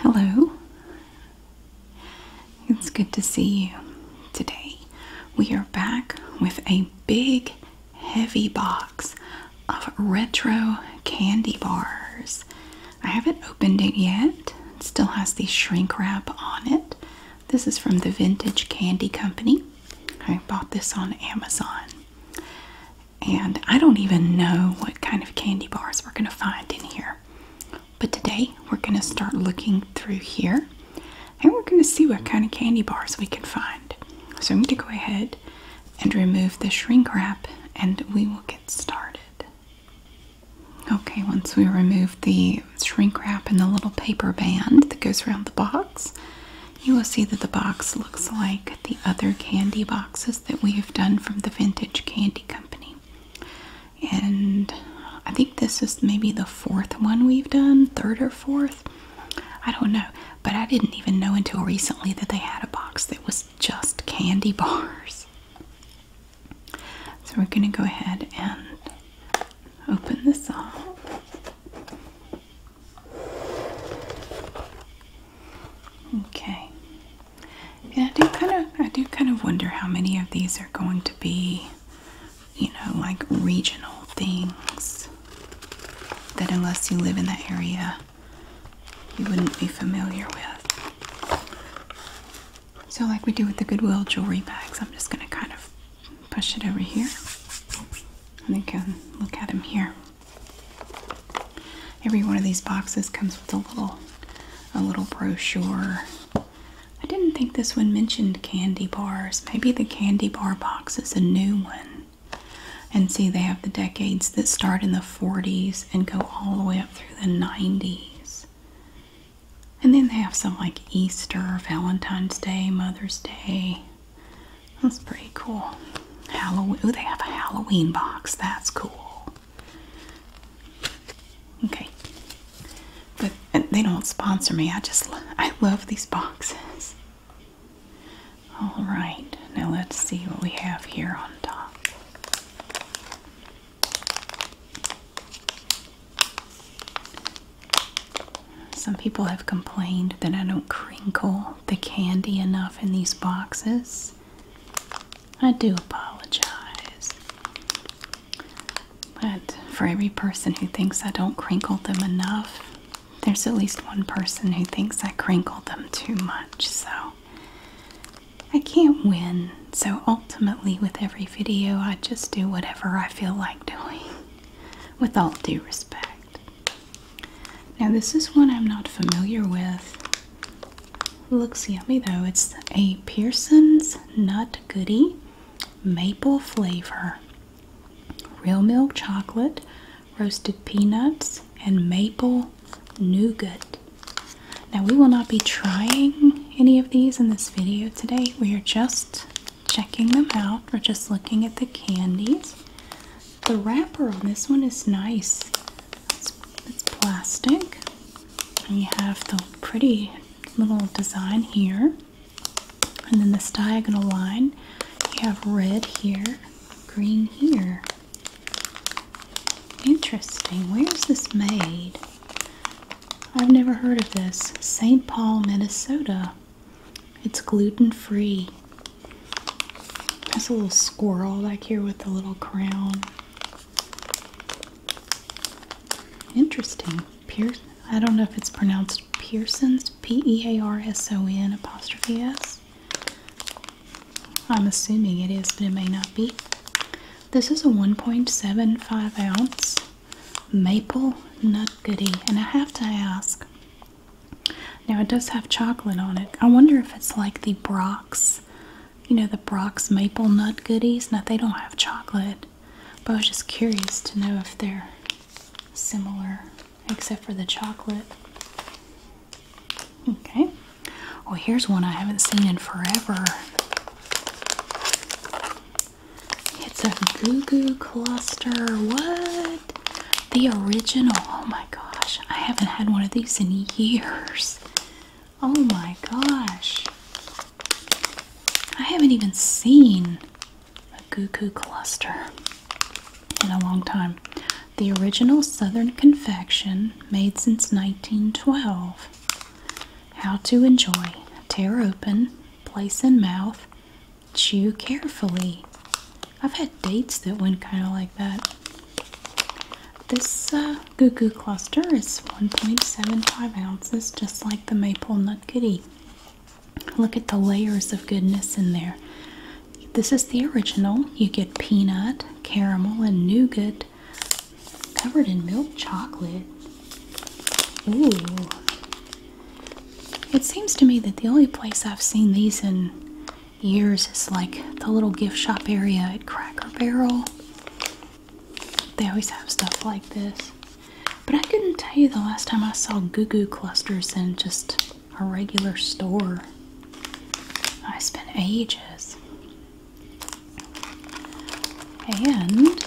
Hello. It's good to see you. Today we are back with a big, heavy box of retro candy bars. I haven't opened it yet. It still has the shrink wrap on it. This is from the Vintage Candy Company. I bought this on Amazon. And I don't even know what kind of candy bars we're going to find in here. But today we're going to start looking through here and we're going to see what kind of candy bars we can find. So I'm going to go ahead and remove the shrink wrap and we will get started. Okay, once we remove the shrink wrap and the little paper band that goes around the box, you will see that the box looks like the other candy boxes that we have done from the Vintage Candy Company. And I think this is maybe the fourth one we've done, third or fourth. I don't know, but I didn't even know until recently that they had a box that was just candy bars. So we're going to go ahead and open this up. Okay. Yeah, I do kind of I do kind of wonder how many of these are going to be, you know, like regional things that unless you live in that area you wouldn't be familiar with. So like we do with the Goodwill jewelry bags, I'm just going to kind of push it over here and you can look at them here every one of these boxes comes with a little a little brochure i didn't think this one mentioned candy bars maybe the candy bar box is a new one and see they have the decades that start in the 40s and go all the way up through the 90s and then they have some like easter valentine's day mother's day that's pretty cool. Halloween. Ooh, they have a Halloween box. That's cool. Okay. But they don't sponsor me. I just I love these boxes. All right. Now let's see what we have here on top. Some people have complained that I don't crinkle the candy enough in these boxes. I do apologize. But for every person who thinks I don't crinkle them enough, there's at least one person who thinks I crinkle them too much. So I can't win. So ultimately, with every video, I just do whatever I feel like doing with all due respect. Now, this is one I'm not familiar with. Looks yummy though. It's a Pearson's Nut Goodie Maple Flavor. Real milk chocolate, roasted peanuts, and maple nougat. Now, we will not be trying any of these in this video today. We are just checking them out or just looking at the candies. The wrapper on this one is nice. It's, plastic. And you have the pretty little design here. And then this diagonal line. You have red here, green here. Interesting. Where's this made? I've never heard of this. St. Paul, Minnesota. It's gluten free. There's a little squirrel back here with a little crown. Interesting. Pearson. I don't know if it's pronounced Pearson's. P E A R S O N apostrophe S. I'm assuming it is, but it may not be. This is a 1.75 ounce maple nut goodie. And I have to ask. Now it does have chocolate on it. I wonder if it's like the Brock's, you know, the Brock's maple nut goodies. Now they don't have chocolate, but I was just curious to know if they're similar, except for the chocolate. Okay. Well, here's one I haven't seen in forever. It's a Goo Goo Cluster. What? The original. Oh my gosh. I haven't had one of these in years. Oh my gosh. I haven't even seen a Goo Goo Cluster in a long time. The original Southern confection made since 1912. How to enjoy. Tear open, place in mouth, chew carefully. I've had dates that went kind of like that. This uh, Goo Goo Cluster is 1.75 ounces, just like the Maple Nut Goodie. Look at the layers of goodness in there. This is the original. You get peanut, caramel, and nougat covered in milk chocolate. Ooh. It seems to me that the only place I've seen these in years is like the little gift shop area at Cracker Barrel. They always have stuff like this. But I couldn't tell you the last time I saw Goo Goo clusters in just a regular store. I spent ages. And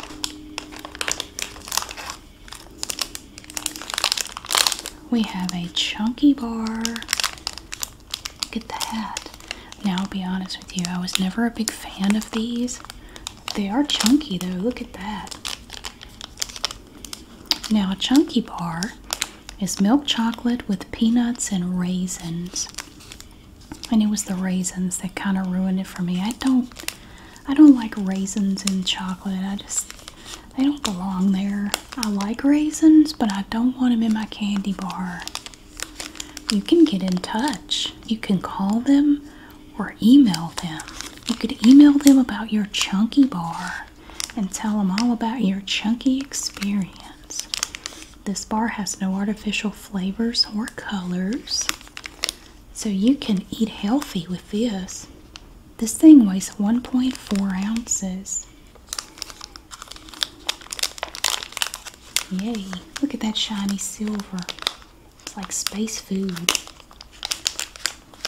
we have a chunky bar. Look at that. Now, be honest with you, I was never a big fan of these. They are chunky though, look at that. Now, a chunky bar is milk chocolate with peanuts and raisins. And it was the raisins that kind of ruined it for me. I don't I don't like raisins in chocolate. I just they don't belong there. I like raisins, but I don't want them in my candy bar. You can get in touch. You can call them or email them. You could email them about your chunky bar and tell them all about your chunky experience. This bar has no artificial flavors or colors. So you can eat healthy with this. This thing weighs 1.4 ounces. Yay, look at that shiny silver. It's like space food.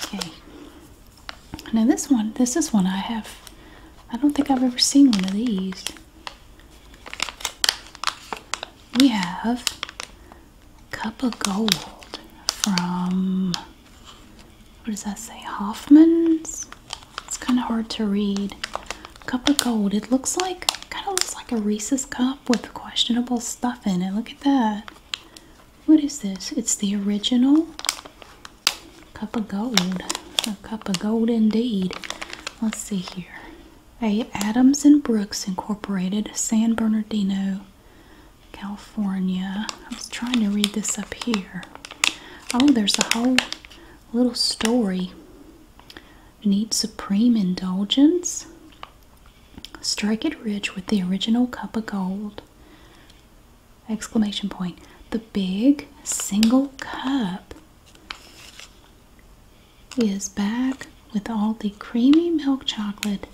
Okay. Now this one, this is one I have. I don't think I've ever seen one of these. We have Cup of Gold from, what does that say? Hoffman's? It's kind of hard to read. Cup of Gold. It looks like, kind of looks like a Reese's cup with questionable stuff in it. Look at that. What is this? It's the original Cup of Gold. A cup of gold indeed. Let's see here. A Adams and Brooks Incorporated San Bernardino California. I was trying to read this up here. Oh, there's a whole little story. Need supreme indulgence? Strike it rich with the original cup of gold. Exclamation point. The big single cup is back with all the creamy milk chocolate,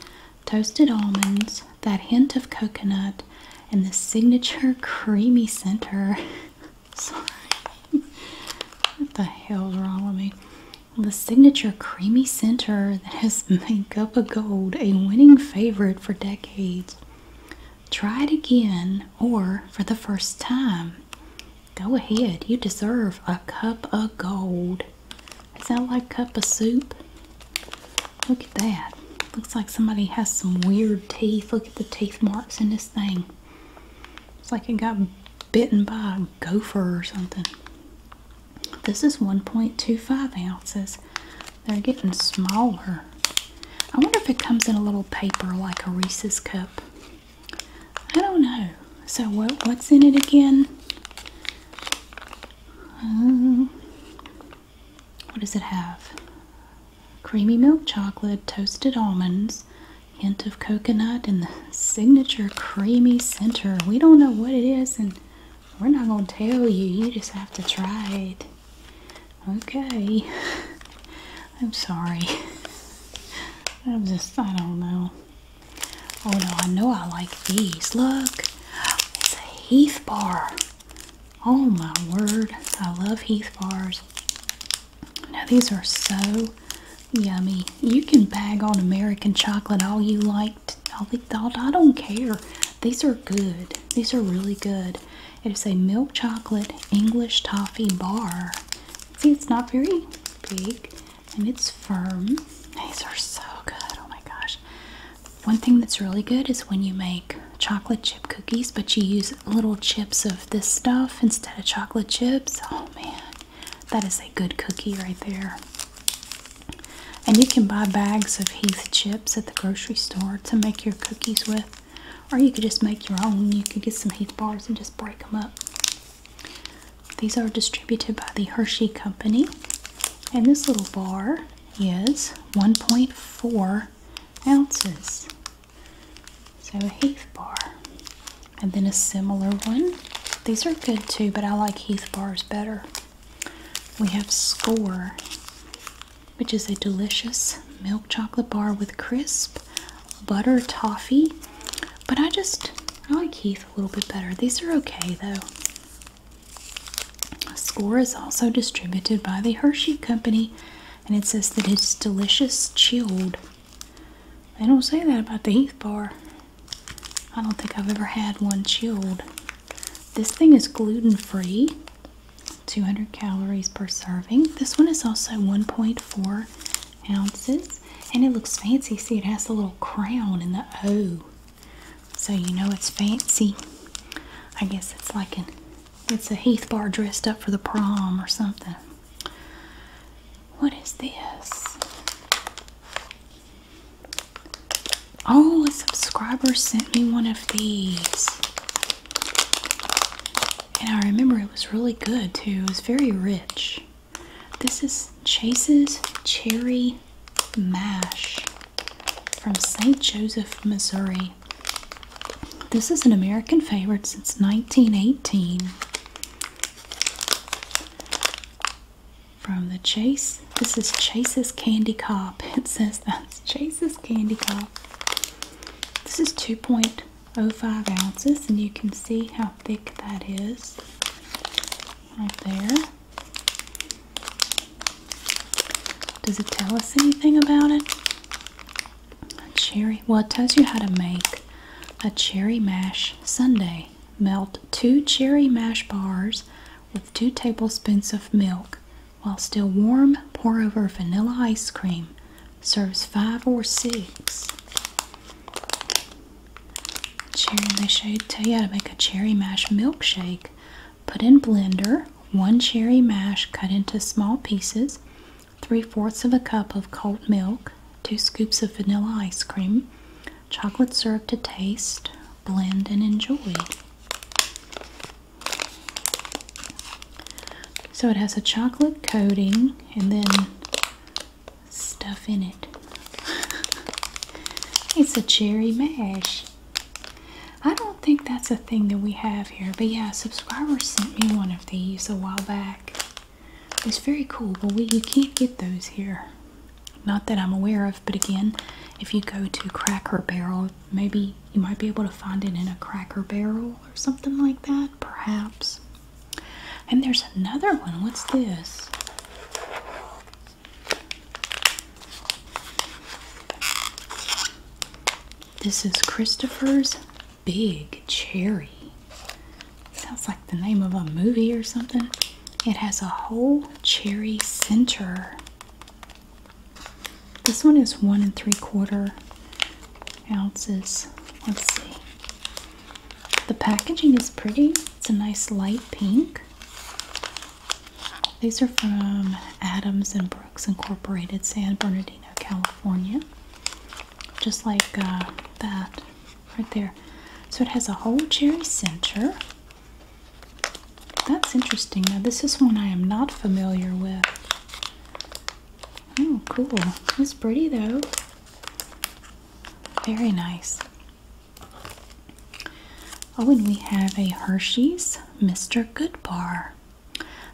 toasted almonds, that hint of coconut, and the signature creamy center. Sorry. what the hell's wrong with me? The signature creamy center that has made Cup of Gold a winning favorite for decades. Try it again or for the first time. Go ahead, you deserve a cup of gold. Is that like cup of soup? Look at that. Looks like somebody has some weird teeth. Look at the teeth marks in this thing. It's like it got bitten by a gopher or something. This is 1.25 ounces. They're getting smaller. I wonder if it comes in a little paper like a Reese's cup. I don't know. So what, what's in it again? Uh, what does it have? Creamy milk chocolate, toasted almonds, hint of coconut, and the signature creamy center. We don't know what it is, and we're not going to tell you. You just have to try it. Okay. I'm sorry. I'm just, I don't know. Oh no, I know I like these. Look, it's a Heath bar. Oh my word, I love Heath bars. Now these are so yummy. You can bag on American chocolate all you like. I don't care. These are good. These are really good. It is a milk chocolate English toffee bar. See, it's not very big and it's firm. These are so good. Oh my gosh. One thing that's really good is when you make chocolate chip cookies, but you use little chips of this stuff instead of chocolate chips. Oh man, that is a good cookie right there. And you can buy bags of Heath chips at the grocery store to make your cookies with, or you could just make your own. You could get some Heath bars and just break them up. These are distributed by the Hershey Company, and this little bar is 1.4 ounces. So, a Heath bar, and then a similar one. These are good too, but I like Heath bars better. We have Score, which is a delicious milk chocolate bar with crisp butter toffee but I just, I like Heath a little bit better. These are okay though. Score is also distributed by the Hershey Company and it says that it's delicious chilled. They don't say that about the Heath bar. I don't think I've ever had one chilled. This thing is gluten free, 200 calories per serving. This one is also 1.4 ounces. And it looks fancy. See, it has a little crown in the O. So you know it's fancy. I guess it's like an it's a Heath bar dressed up for the prom or something. What is this? Oh, a subscriber sent me one of these. And I remember it was really good too. It was very rich. This is Chase's Cherry Mash from St. Joseph, Missouri. This is an American favorite since 1918. From the Chase, this is Chase's Candy Cop. It says that's Chase's Candy Cop. This is 2.05 ounces, and you can see how thick that is right there. Does it tell us anything about it? cherry. Well, it tells you how to make a cherry mash sundae. Melt two cherry mash bars with two tablespoons of milk. While still warm, pour over vanilla ice cream. Serves five or six. Cherry, they show tell you how to make a cherry mash milkshake. Put in blender, one cherry mash cut into small pieces, three fourths of a cup of cold milk, two scoops of vanilla ice cream, chocolate syrup to taste, blend and enjoy. So it has a chocolate coating and then stuff in it. it's a cherry mash. I don't think that's a thing that we have here, but yeah, subscribers sent me one of these a while back. It's very cool, but we you can't get those here. Not that I'm aware of, but again, if you go to Cracker Barrel, maybe you might be able to find it in a Cracker Barrel or something like that, perhaps. And there's another one. What's this? This is Christopher's Big Cherry. Sounds like the name of a movie or something. It has a whole cherry center. This one is one and three quarter ounces. Let's see. The packaging is pretty. It's a nice light pink. These are from Adams and Brooks Incorporated, San Bernardino, California. Just like uh, that right there. So it has a whole cherry center. That's interesting. Now, this is one I am not familiar with. Oh, cool. It's pretty though. Very nice. Oh, and we have a Hershey's Mr. Good Bar.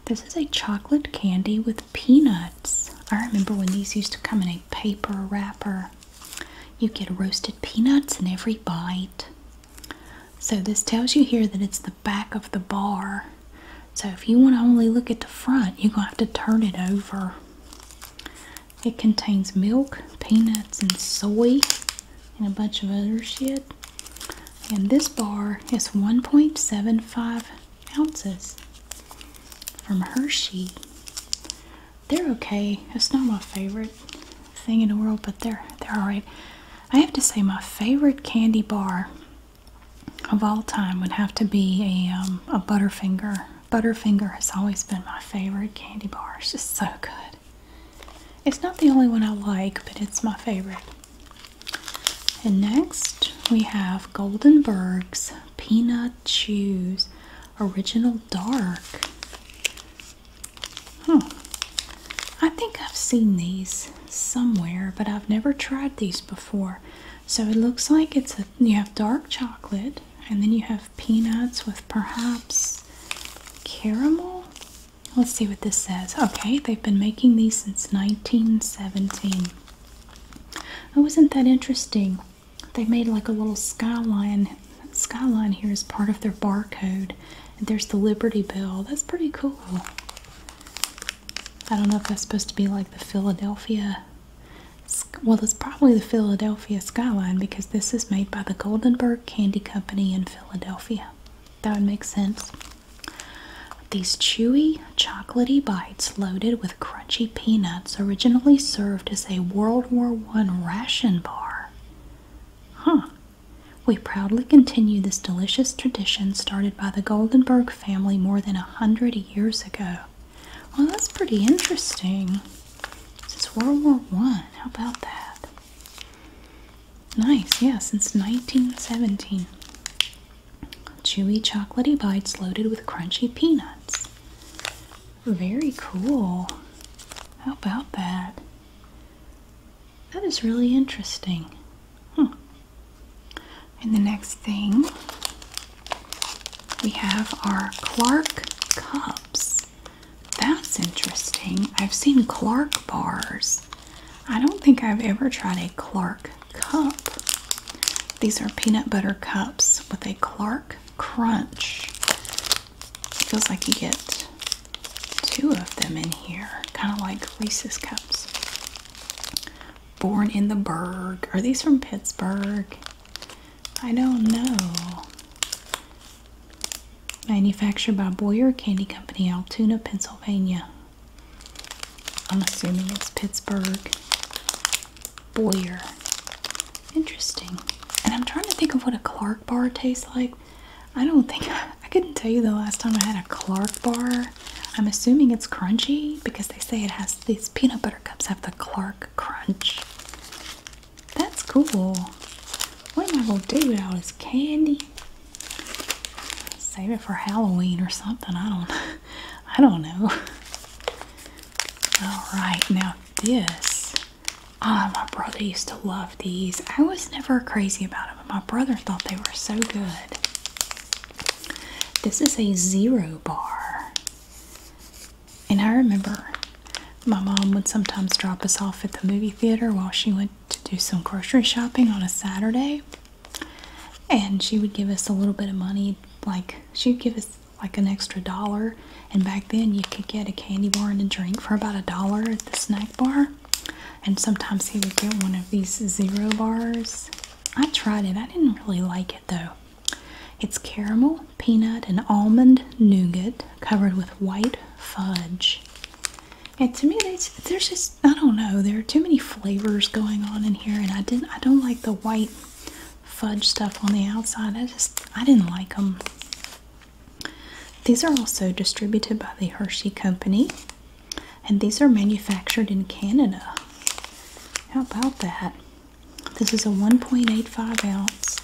This is a chocolate candy with peanuts. I remember when these used to come in a paper wrapper. You get roasted peanuts in every bite. So, this tells you here that it's the back of the bar. So, if you want to only look at the front, you're going to have to turn it over. It contains milk, peanuts, and soy, and a bunch of other shit. And this bar is 1.75 ounces from Hershey. They're okay. It's not my favorite thing in the world, but they're they're alright. I have to say my favorite candy bar of all time would have to be a um, a Butterfinger Butterfinger has always been my favorite candy bar. It's just so good. It's not the only one I like, but it's my favorite. And next we have Goldenberg's Peanut Chews Original Dark. Hmm. I think I've seen these somewhere, but I've never tried these before. So it looks like it's a you have dark chocolate and then you have peanuts with perhaps caramel. Let's see what this says. Okay, they've been making these since 1917. Oh, isn't that interesting? They made like a little skyline. skyline here is part of their barcode. And there's the Liberty Bell. That's pretty cool. I don't know if that's supposed to be like the Philadelphia well, it's probably the Philadelphia skyline because this is made by the Goldenberg Candy Company in Philadelphia. That would make sense. These chewy, chocolaty bites loaded with crunchy peanuts originally served as a World War One ration bar. Huh. We proudly continue this delicious tradition started by the Goldenberg family more than a hundred years ago. Well, that's pretty interesting. Since World War One, how about that? Nice, yeah, since 1917. Chewy chocolatey bites loaded with crunchy peanuts. Very cool. How about that? That is really interesting. Hmm. And the next thing we have are Clark cups. That's interesting. I've seen Clark bars. I don't think I've ever tried a Clark cup. These are peanut butter cups with a Clark crunch. feels like you get two of them in here, kind of like Reese's cups. Born in the Berg. Are these from Pittsburgh? I don't know. Manufactured by Boyer Candy Company, Altoona, Pennsylvania. I'm assuming it's Pittsburgh. Boyer. Interesting. And I'm trying to think of what a Clark bar tastes like. I don't think I, couldn't tell you the last time I had a Clark bar. I'm assuming it's crunchy because they say it has these peanut butter Cups have the Clark Crunch. That's cool. What am I going to do with all this candy? Save it for Halloween or something. I don't I don't know. Alright, now this. Ah, my brother used to love these. I was never crazy about them, but my brother thought they were so good. This is a zero bar. And I remember my mom would sometimes drop us off at the movie theater while she went to do some grocery shopping on a Saturday. And she would give us a little bit of money, like she'd give us like an extra dollar. And back then, you could get a candy bar and a drink for about a dollar at the snack bar. And sometimes he would get one of these zero bars. I tried it, I didn't really like it though. It's caramel, peanut, and almond nougat covered with white fudge. And to me, there's just I don't know. There are too many flavors going on in here, and I didn't. I don't like the white fudge stuff on the outside. I just I didn't like them. These are also distributed by the Hershey Company, and these are manufactured in Canada. How about that? This is a 1.85 ounce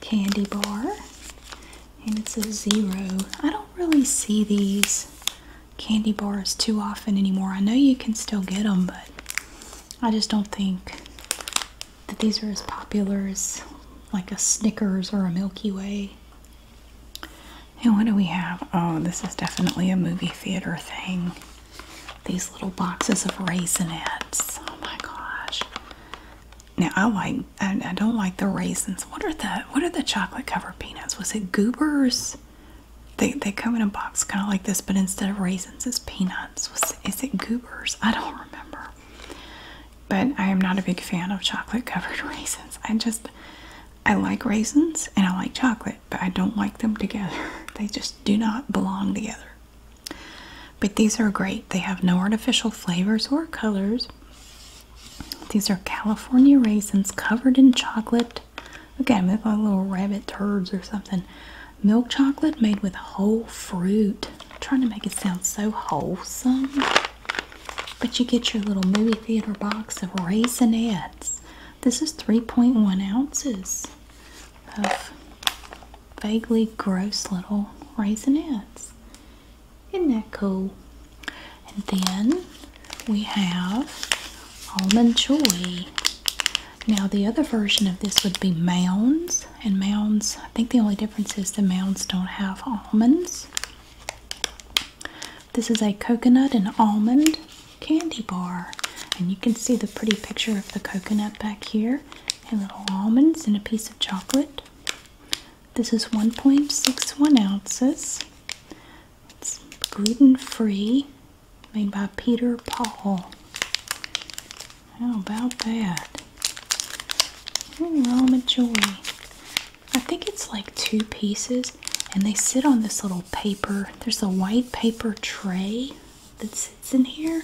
candy bar and it's a zero. I don't really see these candy bars too often anymore. I know you can still get them, but I just don't think that these are as popular as like a Snickers or a Milky Way. And what do we have? Oh, this is definitely a movie theater thing these little boxes of raisinettes. Oh my gosh. Now I like I, don't like the raisins. What are the what are the chocolate covered peanuts? Was it goobers? They they come in a box kind of like this, but instead of raisins it's peanuts. is it goobers? I don't remember. But I am not a big fan of chocolate covered raisins. I just I like raisins and I like chocolate but I don't like them together. They just do not belong together. But these are great. They have no artificial flavors or colors. These are California raisins covered in chocolate. Okay, at them, they like little rabbit turds or something. Milk chocolate made with whole fruit. trying to make it sound so wholesome. But you get your little movie theater box of raisinettes. This is 3.1 ounces of vaguely gross little raisinettes. Isn't that cool? And then we have almond joy. Now the other version of this would be mounds, and mounds, I think the only difference is the mounds don't have almonds. This is a coconut and almond candy bar. And you can see the pretty picture of the coconut back here, and little almonds, and a piece of chocolate. This is 1.61 ounces. It's gluten free, made by Peter Paul. How about that? Ooh, almond joy. I think it's like two pieces, and they sit on this little paper there's a white paper tray that sits in here.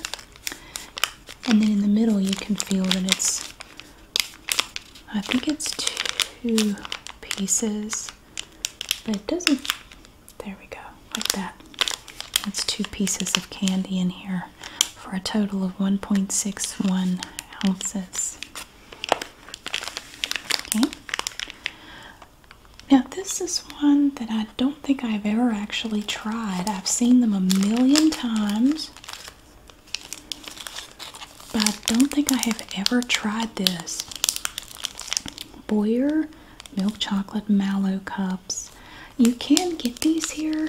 And then in the middle you can feel that it's I think it's two pieces. But it doesn't there we go. Like that. That's two pieces of candy in here for a total of 1.61 ounces. Okay. Now, this is one that I don't think I've ever actually tried. I've seen them a million times, but I don't think I have ever tried this. Boyer milk chocolate mallow cups. You can get these here,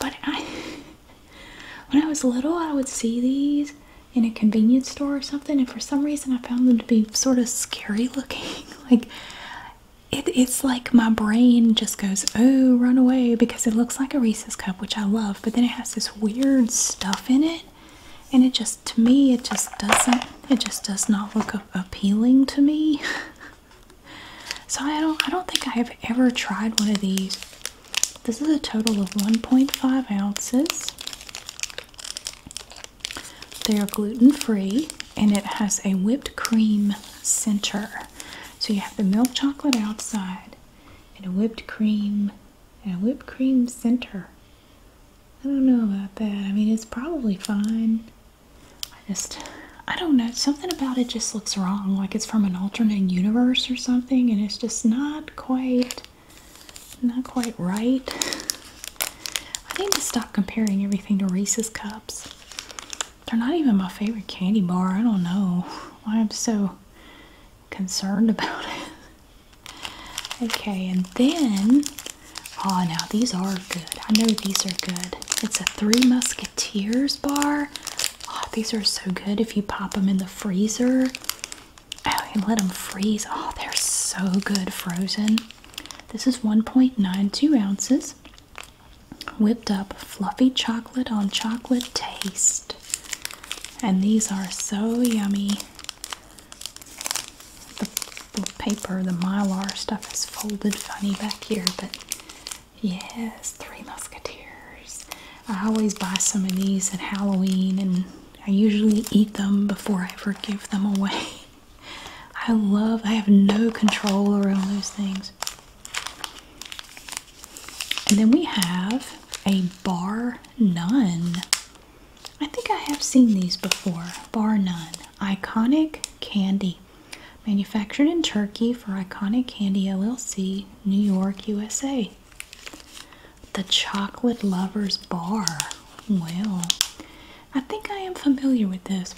but I when I was little, I would see these in a convenience store or something, and for some reason, I found them to be sort of scary looking. like it's like my brain just goes, oh, run away because it looks like a Reese's cup, which I love, but then it has this weird stuff in it. And it just, to me, it just doesn't, it just does not look appealing to me. so I don't, I don't think I have ever tried one of these. This is a total of 1.5 ounces. They're gluten free and it has a whipped cream center. So you have the milk chocolate outside and a whipped cream and a whipped cream center. I don't know about that. I mean, it's probably fine. I just, I don't know. Something about it just looks wrong. Like it's from an alternate universe or something, and it's just not quite not quite right. I need to stop comparing everything to Reese's cups. They're not even my favorite candy bar. I don't know why I'm so concerned about it. Okay, and then ah, now these are good. I know these are good. It's a Three Musketeers bar. Oh, these are so good if you pop them in the freezer. Oh, you let them freeze. Oh, they're so good frozen. This is 1.92 ounces. Whipped up fluffy chocolate on chocolate taste. And these are so yummy. The, the paper, the mylar stuff is folded funny back here, but yes, Three Musketeers. I always buy some of these at Halloween and I usually eat them before I ever give them away. I love, I have no control around those things. And then we have a bar none. I think I have seen these before. Bar none. Iconic candy. Manufactured in Turkey for Iconic Candy LLC, New York, USA. The Chocolate Lovers Bar. Well, I think I am familiar with this.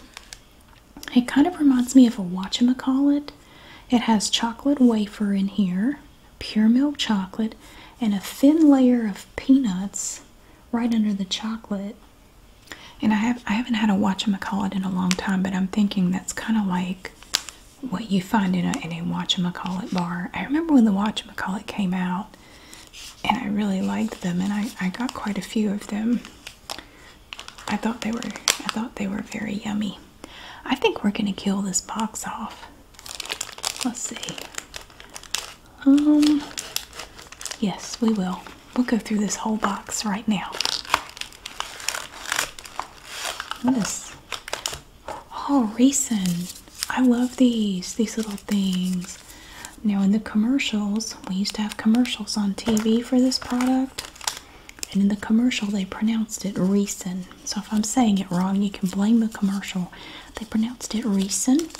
It kind of reminds me of a Watchamacallit. It has chocolate wafer in here, pure milk chocolate, and a thin layer of peanuts right under the chocolate. And I have I haven't had a Watchamacallit in a long time, but I'm thinking that's kind of like what you find in a Watchamacallit bar. I remember when the Watchamacallit came out, and I really liked them and I, I got quite a few of them. I thought they were I thought they were very yummy. I think we're gonna kill this box off. Let's see. Um yes we will. We'll go through this whole box right now. What is Oh, Reese's I love these, these little things. Now, in the commercials, we used to have commercials on TV for this product, and in the commercial, they pronounced it Reesin. So, if I'm saying it wrong, you can blame the commercial. They pronounced it Reesin.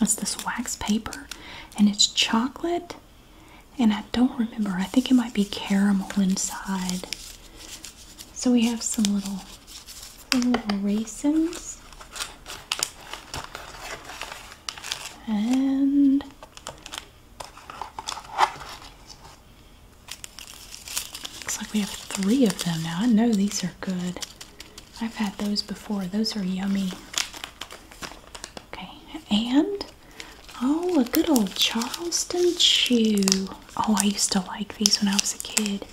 It's this wax paper, and it's chocolate, and I don't remember. I think it might be caramel inside. So, we have some little raisins and looks like we have three of them now. I know these are good. I've had those before. Those are yummy. Okay, and oh, a good old Charleston chew. Oh, I used to like these when I was a kid.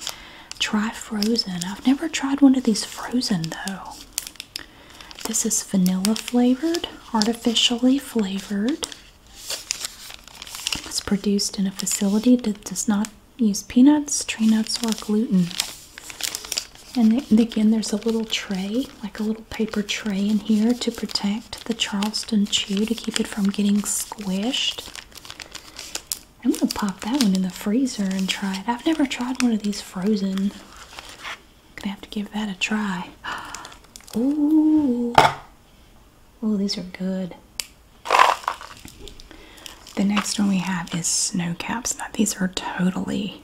Try frozen. I've never tried one of these frozen though. This is vanilla flavored, artificially flavored. It's produced in a facility that does not use peanuts, tree nuts, or gluten. And again, there's a little tray, like a little paper tray in here to protect the Charleston chew to keep it from getting squished. I'm gonna pop that one in the freezer and try it. I've never tried one of these frozen. gonna have to give that a try. Ooh. Ooh, these are good. The next one we have is snow caps. these are totally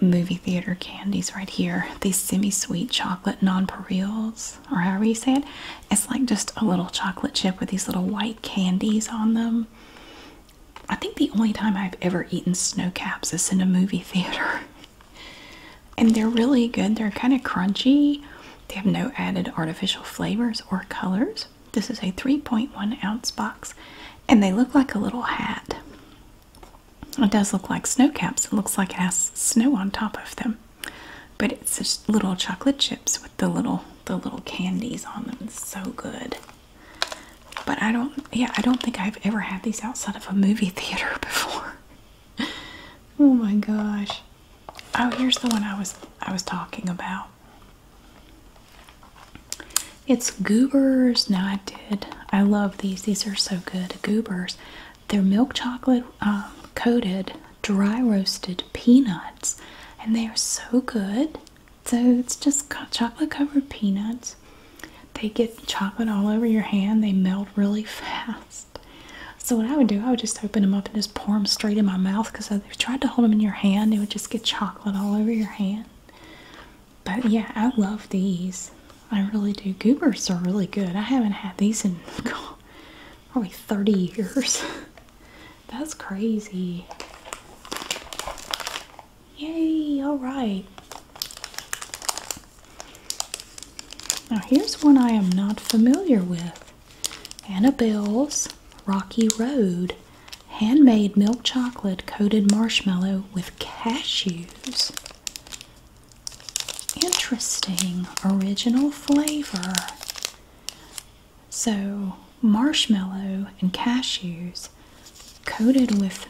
movie theater candies right here. These semi-sweet chocolate nonpareils, or however you say it. It's like just a little chocolate chip with these little white candies on them. I think the only time I've ever eaten snow caps is in a movie theater. and they're really good. They're kind of crunchy. They have no added artificial flavors or colors. This is a 3.1 ounce box and they look like a little hat. It does look like snow caps. It looks like it has snow on top of them. But it's just little chocolate chips with the little the little candies on them. so good. But I don't yeah, I don't think I've ever had these outside of a movie theater before. oh my gosh. Oh, here's the one I was I was talking about. It's goobers. No, I did. I love these. These are so good. Goobers. They're milk chocolate um, coated dry roasted peanuts, and they are so good. So it's just chocolate covered peanuts. They get chocolate all over your hand, they melt really fast. So, what I would do, I would just open them up and just pour them straight in my mouth because if you tried to hold them in your hand, it would just get chocolate all over your hand. But yeah, I love these. I really do. Goobers are really good. I haven't had these in probably 30 years. That's crazy. Yay, all right. Now, here's one I am not familiar with Annabelle's Rocky Road Handmade Milk Chocolate Coated Marshmallow with Cashews. Interesting original flavor. So, marshmallow and cashews coated with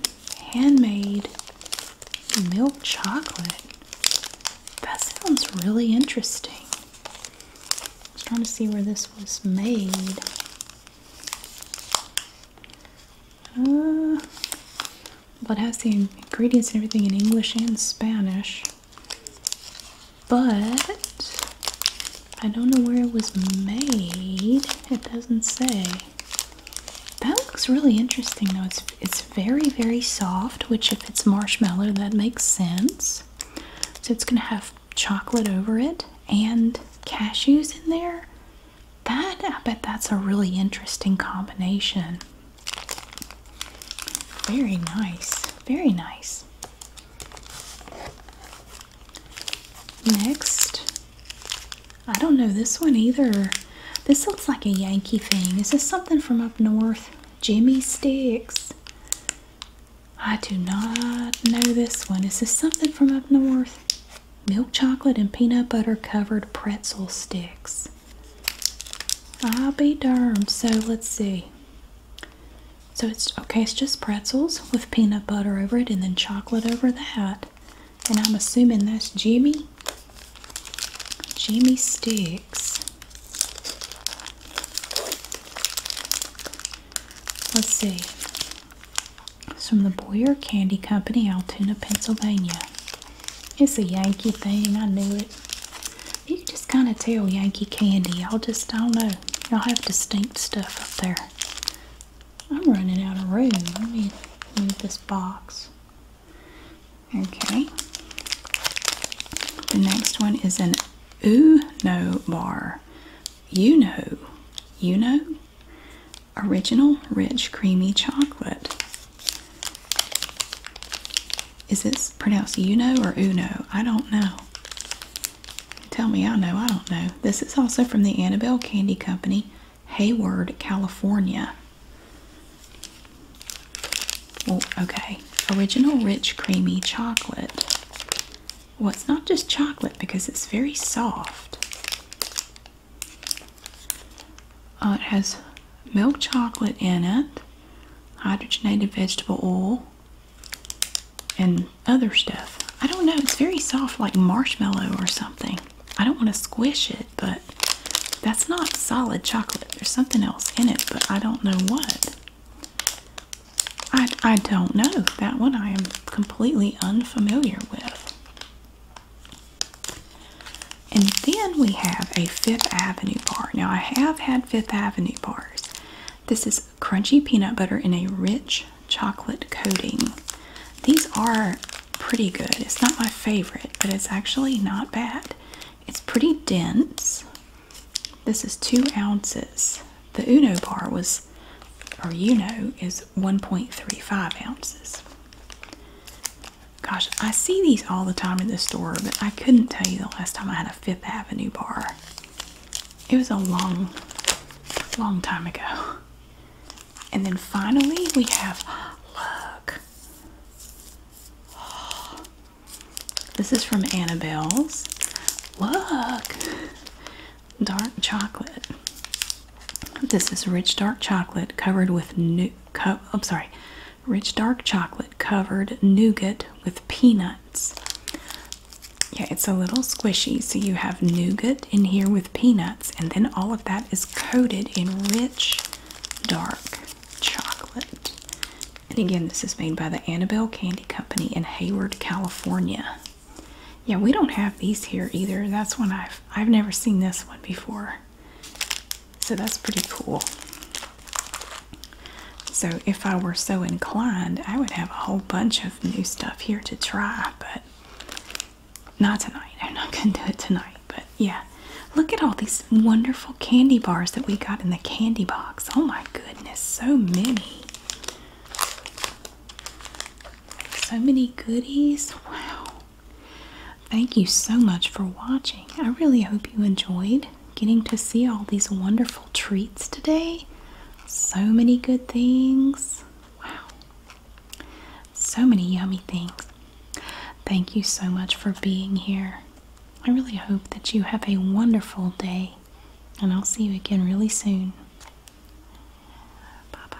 handmade milk chocolate. That sounds really interesting. I was trying to see where this was made. Uh, but it has the ingredients and everything in English and Spanish but I don't know where it was made. It doesn't say. That looks really interesting though. It's it's very very soft, which if it's marshmallow, that makes sense. So it's gonna have chocolate over it and cashews in there. That I bet that's a really interesting combination. Very nice. Very nice. Next, I don't know this one either. This looks like a Yankee thing. Is this something from up north? Jimmy Sticks. I do not know this one. Is this something from up north? Milk chocolate and peanut butter covered pretzel sticks. I'll ah, be darned. So let's see. So it's okay, it's just pretzels with peanut butter over it and then chocolate over that. And I'm assuming that's Jimmy. Jimmy sticks. Let's see. It's from the Boyer Candy Company, Altoona, Pennsylvania. It's a Yankee thing, I knew it. You just kind of tell Yankee Candy. Y'all just I don't know. Y'all have distinct stuff up there. I'm running out of room. Let me move this box. Okay. The next one is an No bar. You know. You know? Original rich creamy chocolate. Is this pronounced Uno or Uno? I don't know. Tell me, I know, I don't know. This is also from the Annabelle Candy Company, Hayward, California. Well, oh, okay. Original Rich Creamy Chocolate. Well, it's not just chocolate because it's very soft. Uh, it has milk chocolate in it, hydrogenated vegetable oil, and other stuff. I don't know, it's very soft, like marshmallow or something. I don't want to squish it, but that's not solid chocolate. There's something else in it, but I don't know what. I, I don't know. That one I am completely unfamiliar with. And then we have a Fifth Avenue bar. Now, I have had Fifth Avenue bars, this is crunchy peanut butter in a rich chocolate coating. These are pretty good. It's not my favorite, but it's actually not bad. It's pretty dense. This is two ounces. The Uno bar was, or Uno, is 1.35 ounces. Gosh, I see these all the time in the store, but I couldn't tell you the last time I had a Fifth Avenue bar. It was a long, long time ago. And then finally, we have look. this is from Annabelle's. Look, dark chocolate. This is rich dark chocolate covered with new. Co I'm sorry, rich dark chocolate covered nougat with peanuts. Yeah, it's a little squishy. So you have nougat in here with peanuts, and then all of that is coated in rich dark chocolate. And again, this is made by the Annabelle Candy Company in Hayward, California. Yeah, we don't have these here either. That's one I've I've never seen this one before. So that's pretty cool. So, if I were so inclined, I would have a whole bunch of new stuff here to try, but not tonight. I'm not going to do it tonight. But yeah, look at all these wonderful candy bars that we got in the candy box. Oh my goodness, so many. So many goodies. Wow. Thank you so much for watching. I really hope you enjoyed getting to see all these wonderful treats today. So many good things. Wow. So many yummy things. Thank you so much for being here. I really hope that you have a wonderful day, and I'll see you again really soon. Bye bye.